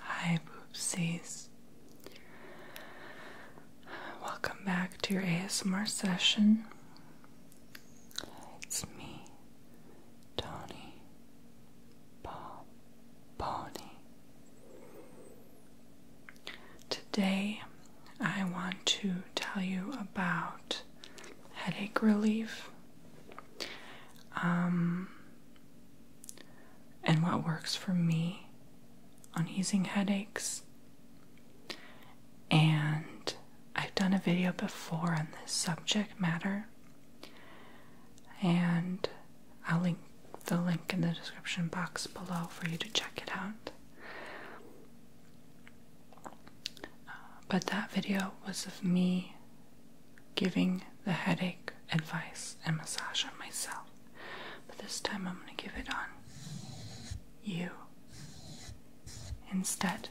Hi, boopsies. Welcome back to your ASMR session. It's me, Tony Paul Pony. Today, I want to tell you about headache relief um, and what works for me on easing headaches. And I've done a video before on this subject matter, and I'll link the link in the description box below for you to check it out but that video was of me giving the headache advice and massage on myself. But this time I'm going to give it on you. Instead,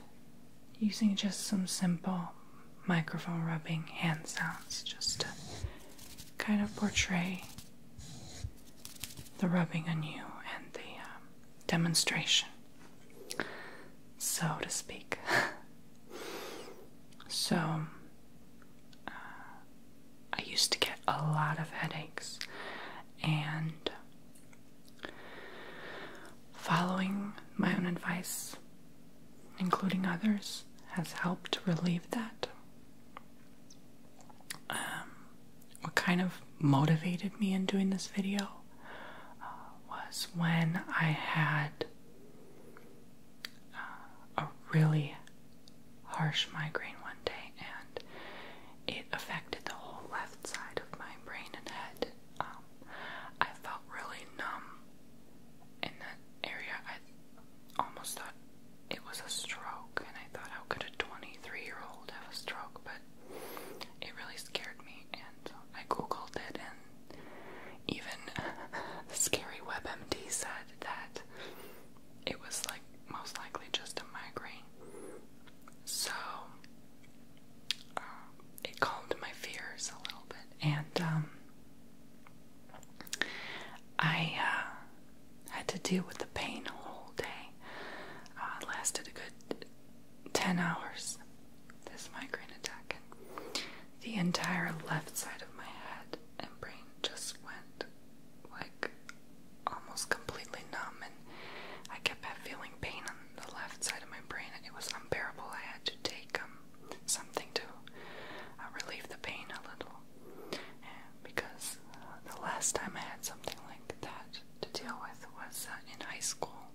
using just some simple microphone rubbing hand sounds just to kind of portray the rubbing on you and the um, demonstration, so to speak. so, uh, I used to get a lot of headaches, and following my own advice, including others, has helped relieve that. Um, what kind of motivated me in doing this video uh, was when I had uh, a really harsh migraine one day, and it affected the whole left side of my brain and head. Um, I felt really numb in that area. I almost thought it was a stroke, and I thought, how could a 23 year old have a stroke? But it really scared me, and I googled it, and even Scary WebMD said that it was like most likely just a migraine. So uh, it calmed my fears a little bit, and um, I uh, had to deal with the pain a whole day. Uh, it lasted a good 10 hours, this migraine attack, and the entire left side of my head and brain just went like almost completely numb, and I kept feeling pain on the left side of my brain, it was unbearable. I had to take um, something to uh, relieve the pain a little, because the last time I had something like that, to deal with was uh, in high school.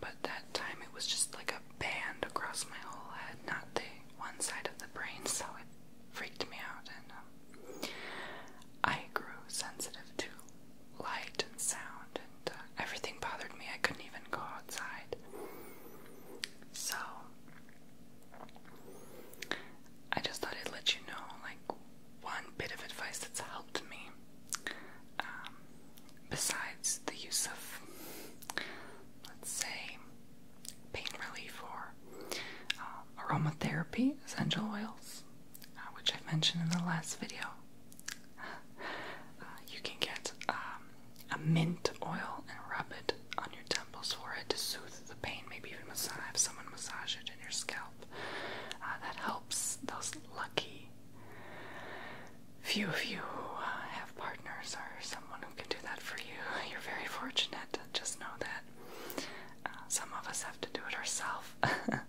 But that time it was just like a band across my whole head, not the one side of the brain, so it freaked me out. And um, I grew sensitive to light and sound, and uh, everything bothered me. I couldn't even go outside. So I just thought I'd let you know, like, one bit of advice that's helped me um, besides the use of, let's say, pain relief or uh, aromatherapy essential oils, uh, which I mentioned in the last video. Uh, you can get um, a mint oil and rub it on your temples for it to soothe the pain, maybe even massage, someone massage it in your scalp. Uh, that helps those lucky few of you who uh, have partners or someone who can do that for you. You're very fortunate. Just know that. Uh, some of us have to do it ourselves. but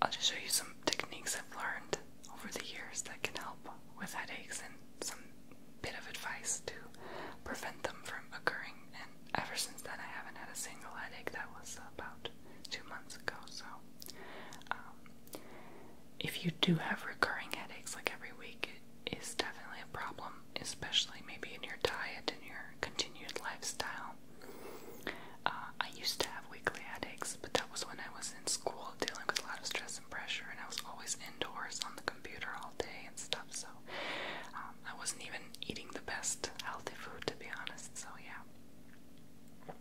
I'll just show you some techniques I've learned over the years that can help with headaches and some bit of advice to prevent them from occurring. And ever since then, I haven't had a single headache. That was about two months ago. So, um, if you do have recurring headaches like every week, it is definitely a problem, especially maybe in your diet and your continued lifestyle. Uh, I used to have weekly headaches, but that was when I was in school dealing with a lot of stress and pressure, and I was always indoors on the computer all day and stuff. So um, I wasn't even eating the best healthy food to be honest. So yeah,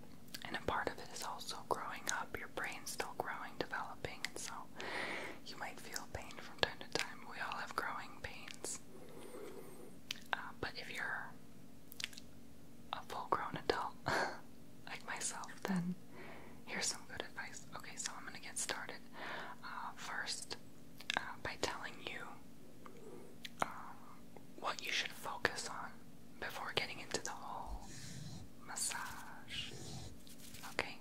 and a part of it is also growing up. Your brain's still growing, developing, and so you might feel pain from time to time. We all have growing pains, uh, but if you're a full-grown adult like myself, then here's some good advice. Okay, so I'm gonna get started uh, first uh, by telling you uh, what you should focus on before getting into the whole massage. Okay?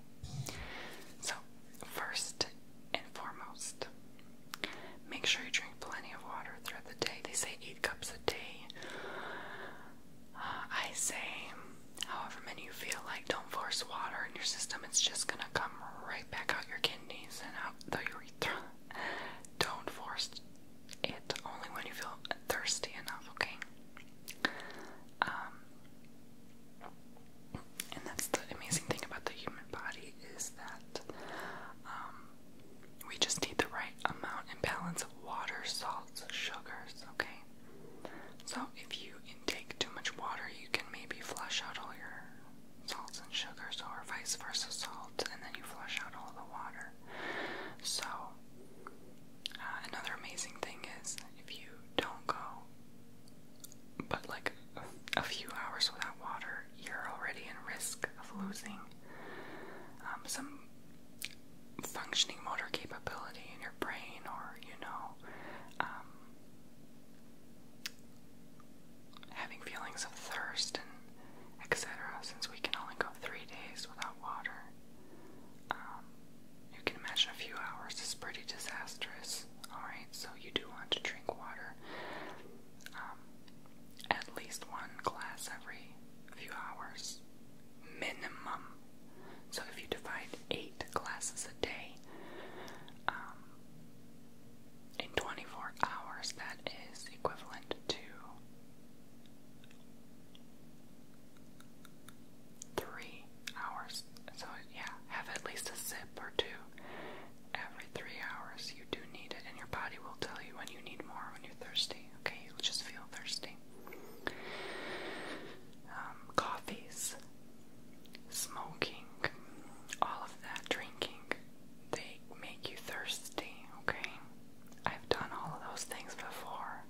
So, first and foremost, make sure you drink plenty of water throughout the day. They say eight cups a day. Uh, I say however many you feel like, don't force water in your system. It's just gonna come right back out your kidneys and out the urethra. don't force it only when you feel thirsty enough, okay? Um, and that's the amazing thing about the human body is that um, we just need the right amount and balance of water, salts, sugars, okay? So, if you intake too much water, you can maybe flush out all your salts and sugars, or vice versa, salt, and then you flush out all the water. So, uh, another amazing thing is if you don't go but like a, few hours without water, you're already in risk of losing um, some functioning motor capability in your brain, or you know, um, having feelings of thirst and etc. Since we can only go three days without water, um, you can imagine a few hours is pretty disastrous. Alright, so you do want to drink water um, at least one glass every few hours, minimum. So if you divide eight glasses a day um, in 24 hours, that is equivalent to three hours. So, yeah, have at least a sip or two every three hours. You do need it, and your body will tell you when you need more when you're thirsty. Okay, you'll just feel thirsty. Um, coffees smoking, all of that, drinking, they make you thirsty, okay? I've done all of those things before.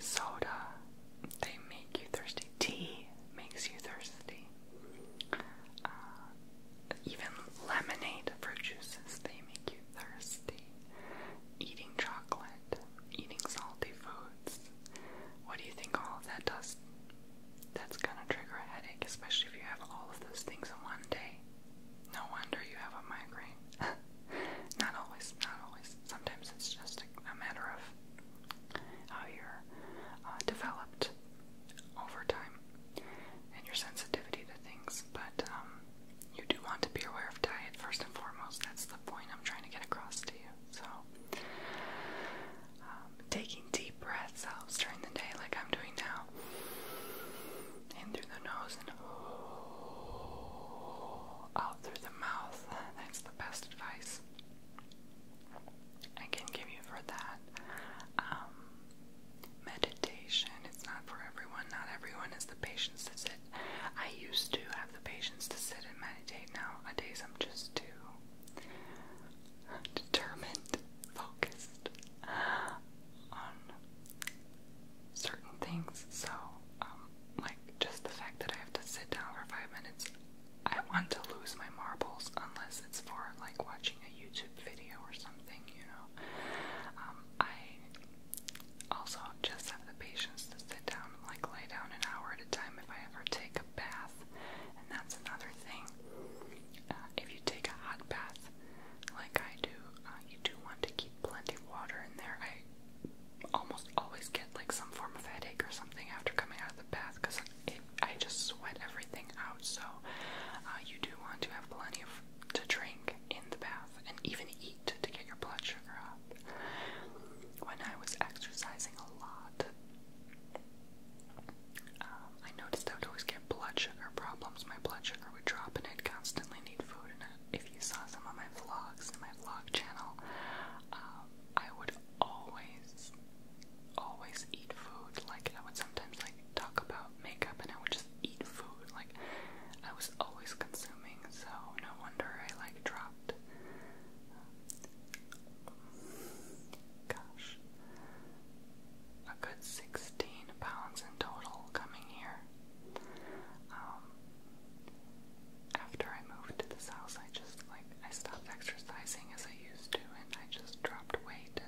Soda, they make you thirsty. Tea makes you thirsty. Uh, even lemonade, fruit juices, they make you thirsty. Eating chocolate, eating salty food what do you think all of that does? That's gonna trigger a headache, especially if you have all of those things in one day. No wonder you have a migraine. not always, not always. Sometimes it's just a, matter of how you're uh, developed over time and your sensitivity to things. But um, you do want to be aware of diet first and foremost. That's the point I'm trying to get across to so, um, taking deep breaths out during the day, like I'm doing now, in through the nose and out through the mouth. That's the best advice I can give you for that. Um, meditation, it's not for everyone. Not everyone has the patience to sit I used to have the patience to sit and meditate. Now, days I'm just too determined, focused on certain things. So, um, like just the fact that I have to sit down for five minutes, I want to lose my marbles unless it's for like watching a YouTube video or something, you know. Um, I also, just have the patience to sit down, like lay down an hour at a time if I ever take a bath. And that's another thing. Uh, if you take a hot bath, like I do, uh, you do want to keep plenty of water in there. I almost always get like some form of headache or something after coming out of the bath because I just sweat everything out. So, uh, you do want to have plenty of to drink in the bath and even eat eat to get your blood sugar up. When I was exercising a lot, um, I noticed I would always get blood sugar problems. My blood sugar would drop, and I'd constantly need food. And if you saw some of my vlogs in my vlog channel, um, I would always, always eat food. Like I would sometimes like talk about makeup, and I would just eat food. Like. I was always consuming, so no wonder I like dropped. Gosh, a good 16 pounds in total coming here. Um, after I moved to this house, I just like I stopped exercising as I used to, and I just dropped weight,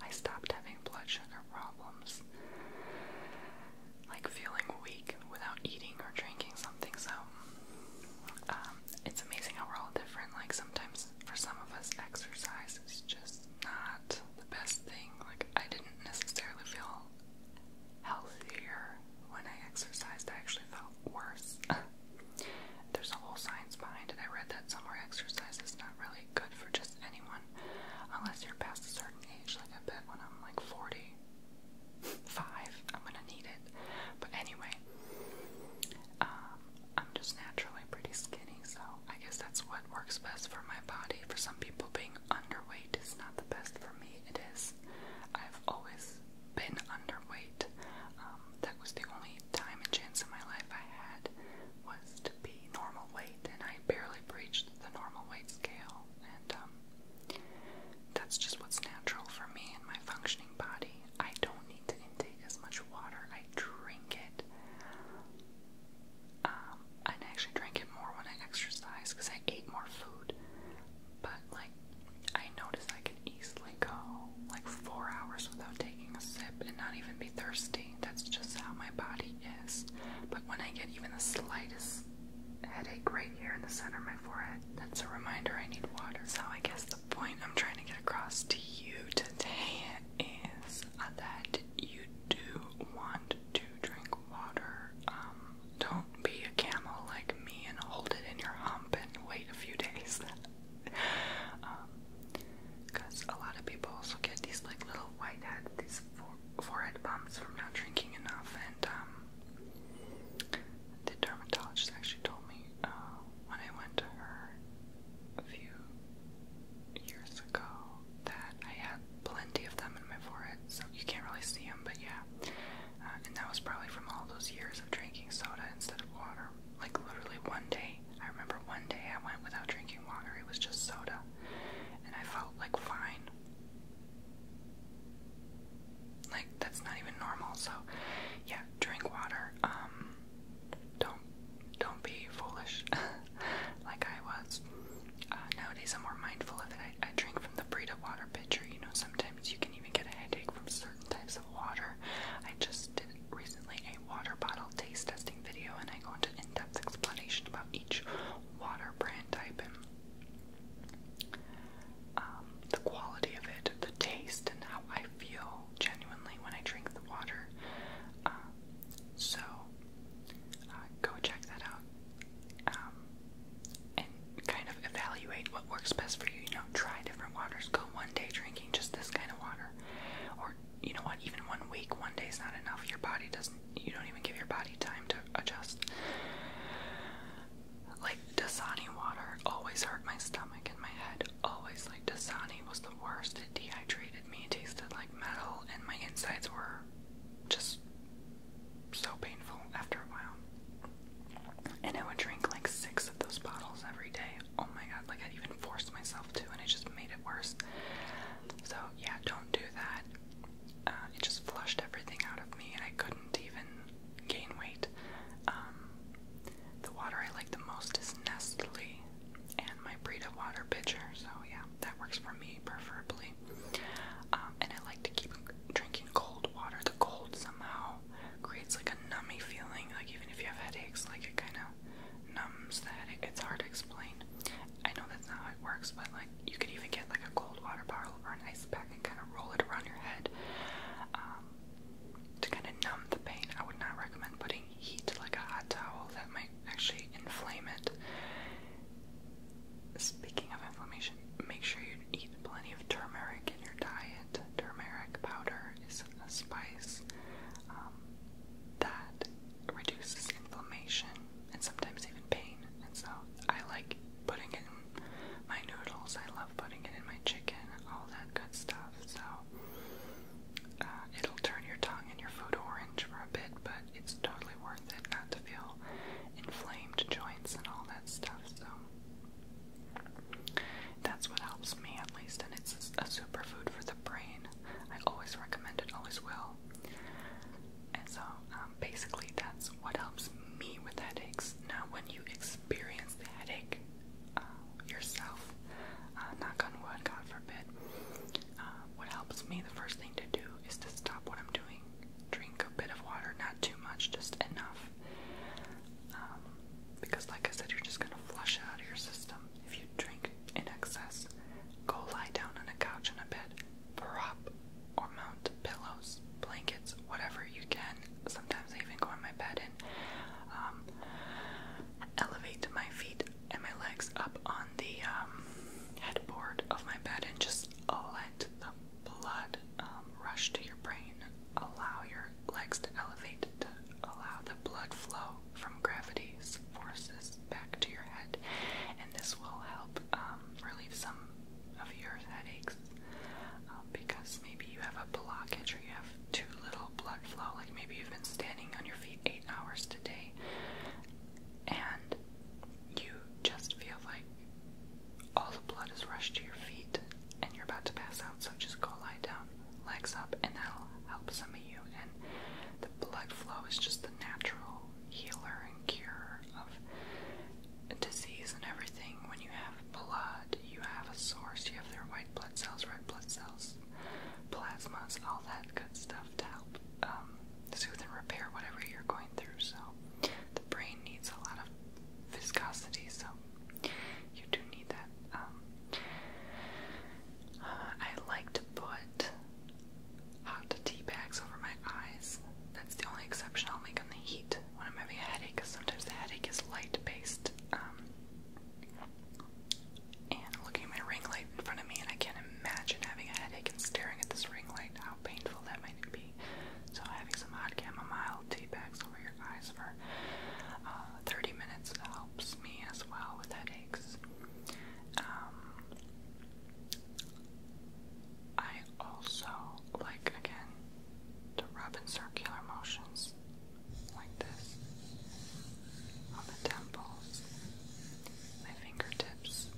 I stopped having blood sugar problems like feeling weak without eating or drinking something. So um, it's amazing how we're all different. Like sometimes for some of us, exercise is just not the best thing. Like I didn't necessarily feel healthier when I exercised. I actually felt worse. There's a whole science behind it. I read that somewhere exercise is not really good for just anyone unless you're past a certain age. Like I bet when I'm like 40, five. I'm gonna need it. But anyway, um, I'm just naturally pretty skinny, so I guess that's what works best for my body. For some people, being underweight is not the best for me. It is. I've always been underweight. Um, that was the only time and chance in my life I had was to be normal weight, and I barely breached the normal weight scale. Um, that's just what's natural for me and my functioning body. I don't need to intake as much water. I drink it. Um, I actually drank it more when I exercise because I eat more food. But like, I noticed I can easily go like four hours without taking a sip and not even be thirsty. That's just how my body is. But when I get even the slightest headache right here in the center of my forehead. That's a reminder I need water. So I guess the point I'm trying to get across to you today is that you do want to drink water. Um, don't be a camel like me and hold it in your hump and wait a few days. um, because a lot of people also get these like little whiteheads, these forehead bumps from not drinking enough, and um, the dermatologist actually told me uh, when I went to her a few years ago that I had plenty of them in my forehead, so you can't really see them, but yeah. Uh, and that was probably from all those years of drinking soda instead of water. Like, literally, one day, I remember one day I went without drinking water, it was just soda, and I felt like fine. Like, that's not even normal. So, yeah, drink water. Um, don't don't be foolish like I was. Uh, nowadays, I'm more mindful of it. I, I drink from the Brita water pitcher. You know, sometimes you can even get a headache from certain types of water. I just did recently a water bottle taste testing video, and I go into in-depth explanation about each water brand type in. Um, the quality of it, the taste, and how I feel genuinely when I drink the water. Uh, so, uh, go check that out um, and kind of evaluate what works best for you. You know, try different waters. Go one day drinking just this kind of water, or you know what, even one week, one day is not enough. Your body doesn't you don't even give your body time to adjust. Like Dasani water always hurt my stomach and my head. Always like Dasani was the worst. It dehydrated me. It tasted like metal, and my insides were just so painful after a while. And I would drink like six of those bottles every day. Oh my god! Like I even forced myself to, and it just made it worse. So yeah, don't do that. Uh, it just flushed everything out of me, and I couldn't even gain weight. Um, the water I like the most is Nestle and my Brita water pitcher, so yeah, that works for me preferably. Um, and I like to keep drinking cold water. The cold somehow creates like a nummy feeling, like even if you have headaches, like it kind of numbs the headache. It's hard to explain. I know that's not how it works, but like you could even get like a cold water bottle or an ice pack and kind of roll it around your head um, to kind of numb the pain. I would not recommend putting heat like a hot towel, that might actually inflame it. Speaking of inflammation, make sure you eat plenty of turmeric in your diet. Turmeric powder is a spice um, that reduces inflammation and sometimes even pain. And so I like putting it in my noodles. I love putting it in my chicken, all that good stuff. So uh, it'll turn your tongue and your food orange for a bit, but it's totally worth it not to feel inflamed joints and all that stuff. So that's what helps me, at least. And it's a superfood for the brain. I always recommend it, always will. And so, um, basically, that's what helps me with headaches. Now, when you experience the headache uh, yourself, uh, knock on wood, God forbid, uh, what helps me the first thing to do is to stop what I'm doing, drink a bit of water, not too much, just enough. Um, because, like I said, you're just going to flush it out of your system. If you drink in excess, go lie down on a couch in a bed, prop or mount pillows, blankets, whatever you can. Sometimes I even go on my bed and um, elevate my feet and my legs up on the um, headboard of my bed and just let the blood um, rush to your brain. Allow your legs to elevate to allow the blood flow from gravity's forces back to your head, and this will help um, relieve some of your headaches um, because maybe you have a blockage or you have too little blood flow. Like maybe you've been standing on your feet eight hours today, and you just feel like all the blood is rushed to your feet and you're about to pass out. So just go lie down, legs up, and that'll help some of you the blood flow is just the natural healer and cure of disease and everything. When you have blood, you have a source, you have their white blood cells, red blood cells, plasmas, all that good stuff to help um, soothe and repair whatever you're going through. So, the brain needs a lot of viscosity, so you do need that. Um, uh, I like to put hot tea bags over my eyes. That's the only exception I'll make on the heat when I'm having a headache, sometimes the headache is light based. Um, and looking at my ring light in front of me, and I can't imagine having a headache and staring at this ring light, how painful that might be. So, having some hot chamomile tea bags over your eyes for uh, 30 minutes helps me as well with headaches. Um, I also like again to rub in circular motions like this on the temples, my fingertips,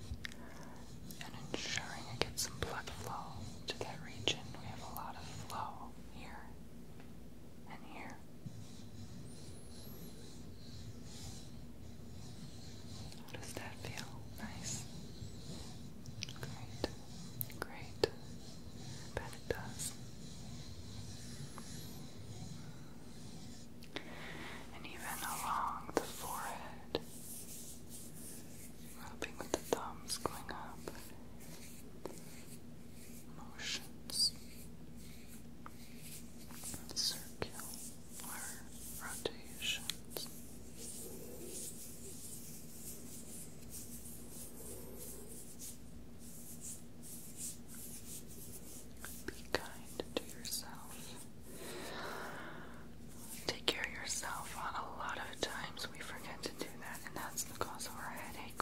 and ensuring I get some blood flow to that region. We have a lot of flow here and here. How does that feel? Nice. Great. Great. Bet it does. And even along the forehead, rubbing with the thumbs going up. Motions circular rotations. Be kind to yourself. Take care of yourself. A lot of times we forget to do that, and that's the cause of our headache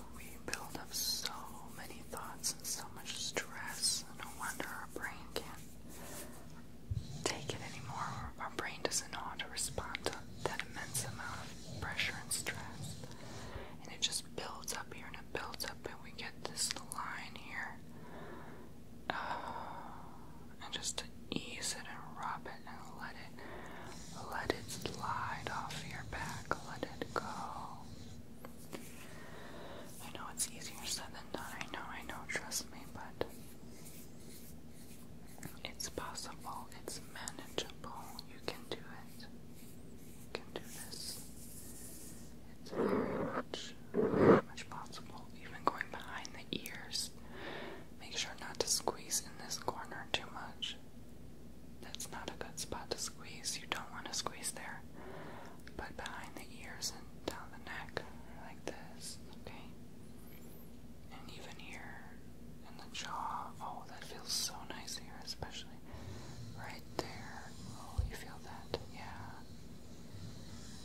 build up so many thoughts and so much stress. No wonder our brain can't take it anymore. Our brain doesn't know how to respond to that immense amount of pressure and stress. And it just builds up here and it builds up, and we get this line here. Uh, and just to ease it and rub it and let it let it slide off your back. Let it go. I know it's easier said than done. I know, I know, trust me, but it's possible, it's manageable. You can do it. You can do this. It's very much, very much possible. Even going behind the ears. Make sure not to squeeze in this corner too much. That's not a good spot to squeeze. You don't want to squeeze there. But behind the ears and down the neck, like this, okay? And even here and the jaw. Oh, that feels so nice here, especially right there. Oh, you feel that? Yeah.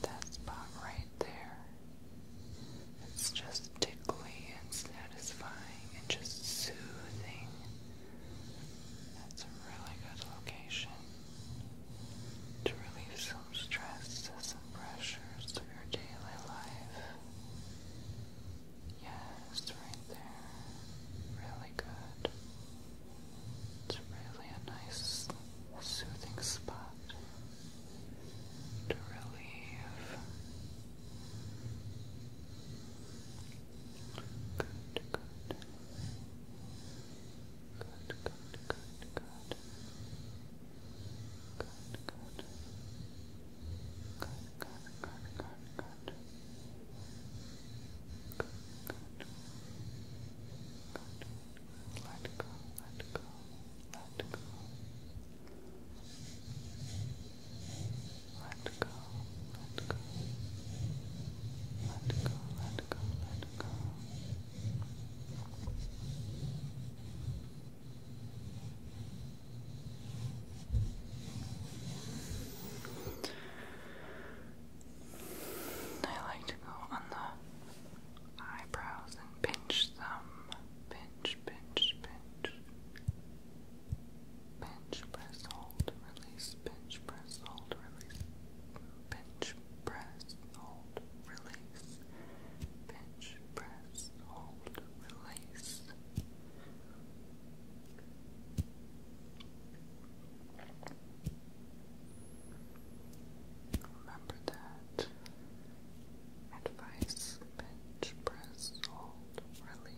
That spot right there. It's just tickly and satisfying and just soothing. That's a really good location to relieve some stresses and pressures of your daily life. Yes, right there. Really good. It's really a nice, soothing spot to relieve Good, good. Good, good, good, good. Good, good. Good, good, good, good, good. Good, good. Let go, let go, let go. Let go, let go. Let go, let go, let go. I like to go on the eyebrows and pinch them. Pinch, pinch, pinch. Bench press, hold, release, bench press, hold, release, bench press, hold, release, bench press, hold, release. Remember that advice bench press, hold, release.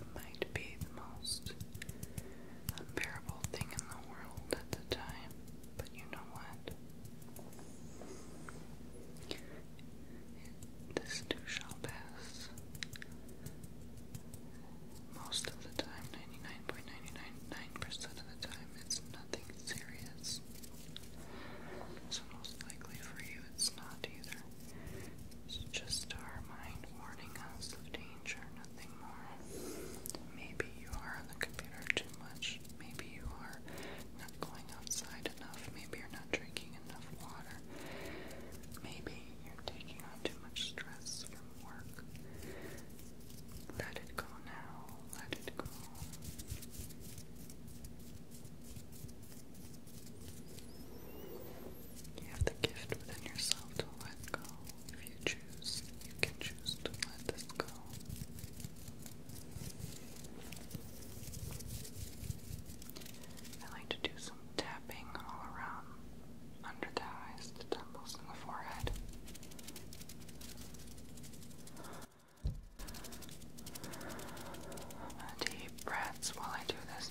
It might be the most unbearable thing in the world at the time, but you know what? This too shall pass. Most of the time, 99.999% of the time, it's nothing serious. So most likely for you, it's not either. It's just our mind warning us of danger, nothing more. Maybe you are on the computer too much. Maybe you are not going outside enough. Maybe you're not drinking enough water. Maybe you're taking on too much stress from work. Let it go now. Let it go. You have the gift within yourself to let go. If you choose, you can choose to let this go. I like to do some tapping all around under the eyes, the temples, and the forehead. I'm deep breaths while I do this.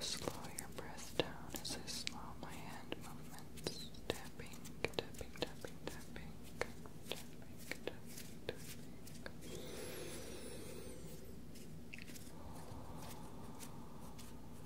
Slow your breath down as I slow my hand movements. Tapping, tapping, tapping, tapping, tapping, tapping, tapping.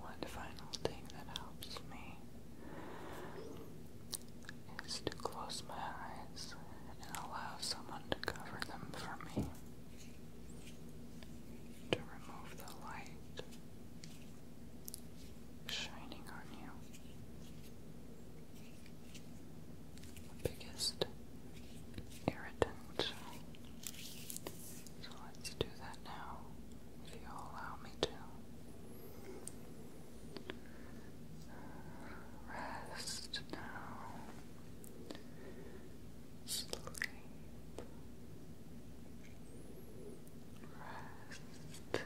One final thing that helps me is to close my eyes and allow someone to cover them for me, to remove the light shining on you. biggest irritant. So let's do that now, if you allow me to. Rest now. Sleep rest, sleep, rest,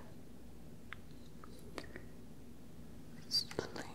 sleep, sleep, sleep.